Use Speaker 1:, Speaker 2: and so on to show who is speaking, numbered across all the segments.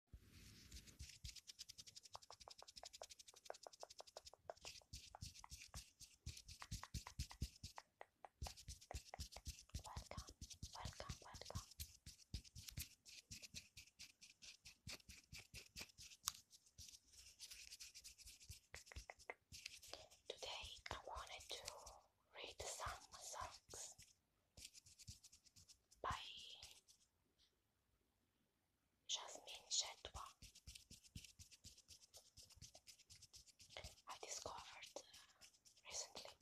Speaker 1: Welcome, welcome, welcome. Today I wanted to read some songs by Jasmine Chetwa. I discovered uh, recently.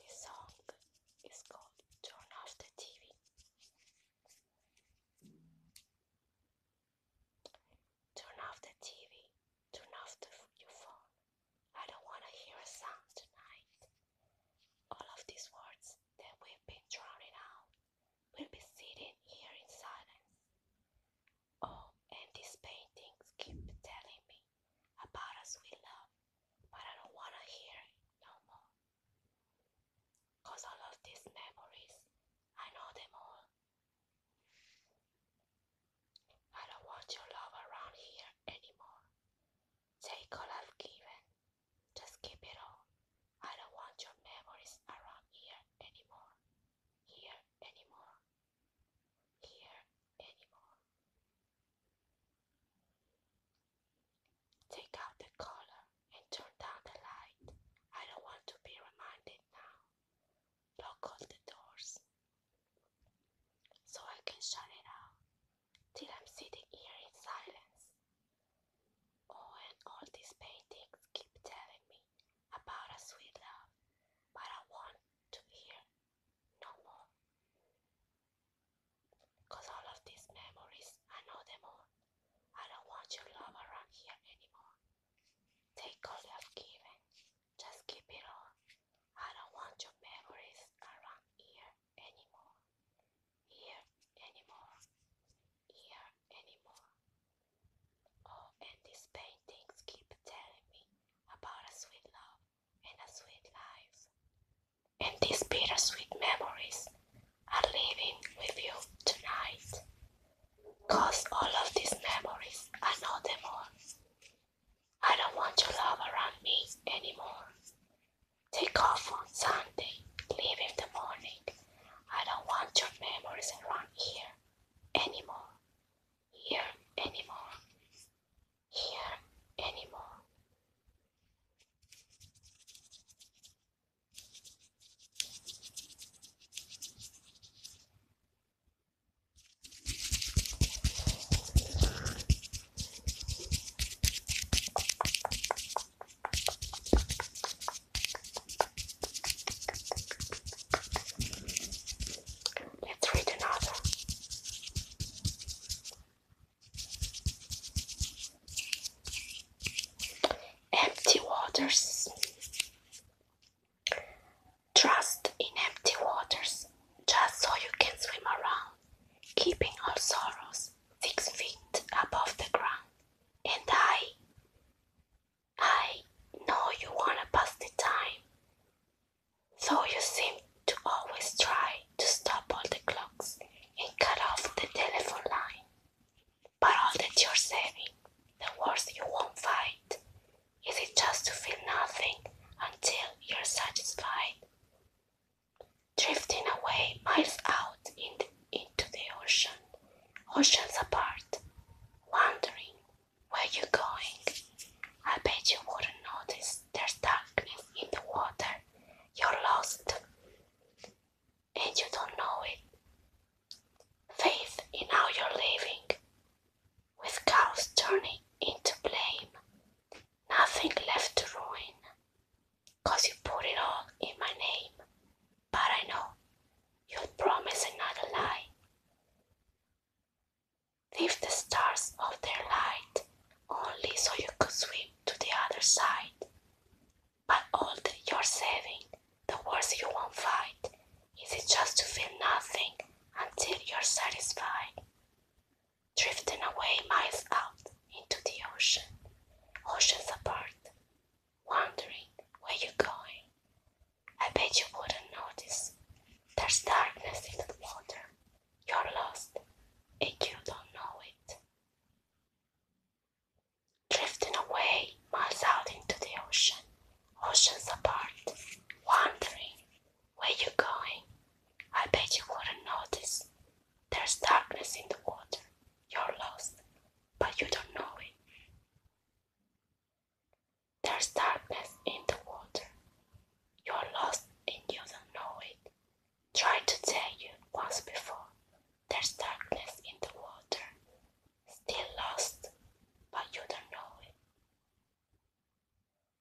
Speaker 1: This song is called Turn Off the TV. Turn off the TV, turn off your phone, I don't want to hear a sound tonight. All of these words that we've been drowning out will be sitting here in silence. Oh, and these paintings keep telling me about us we love, but I don't want to hear no more. all of these memories, I know them all. I don't want your love around here anymore. Take all I've given. Just keep it all. I don't want your memories around here anymore. Here anymore. Here anymore. Take out the collar and turn down the light. I don't want to be reminded now. Lock all the doors so I can shut it out till I'm sitting here in silence. Oh, and all these paintings keep telling me about a sweet love, but I want to hear no more. all of these memories, I know them all. I don't want your love around here anymore. Take all you have given, just keep it all. I don't want your memories around here anymore. Here anymore. Here anymore. Oh, and these paintings keep telling me about a sweet love and a sweet life. And these bittersweet memories are living with you tonight. all of these memories are no more. I don't want your love around me anymore. Take off on Sunday, leave in the morning. I don't want your memories around here anymore. Here anymore. Here anymore. Let's read Empty waters. Trust in empty waters just so you can swim around keeping all sorrows six feet above the ground. And I, I know you want to pass the time, so you seem to always try to stop all the clocks and cut off the telephone line. But all that you're saving, the wars you won't fight, is it just to feel nothing until you're satisfied? drifting away miles out into the ocean, oceans apart, wondering where you're going. I bet you wouldn't notice there's darkness in the water. You're lost, and you don't know it. Faith in how you're living, with cows turning into blame, nothing left to ruin, cause you put it all in my name. But I know you'll promise another lie. Leave the stars of their light only so you could swim to the other side. But all that you're saving, the wars you won't fight, is it just to feel nothing until you're satisfied? drifting away miles out into the ocean, oceans apart, wondering where you're going. I bet you wouldn't notice. There's darkness in the water. You're lost, and you don't know it. Drifting away miles out into the ocean, oceans apart, wondering where you going? I bet you wouldn't notice. There's darkness in the water. You're lost, but you don't know it. There's darkness in the water. You're lost and you don't know it. Try to tell you once before. There's darkness in the water. Still lost, but you don't know it.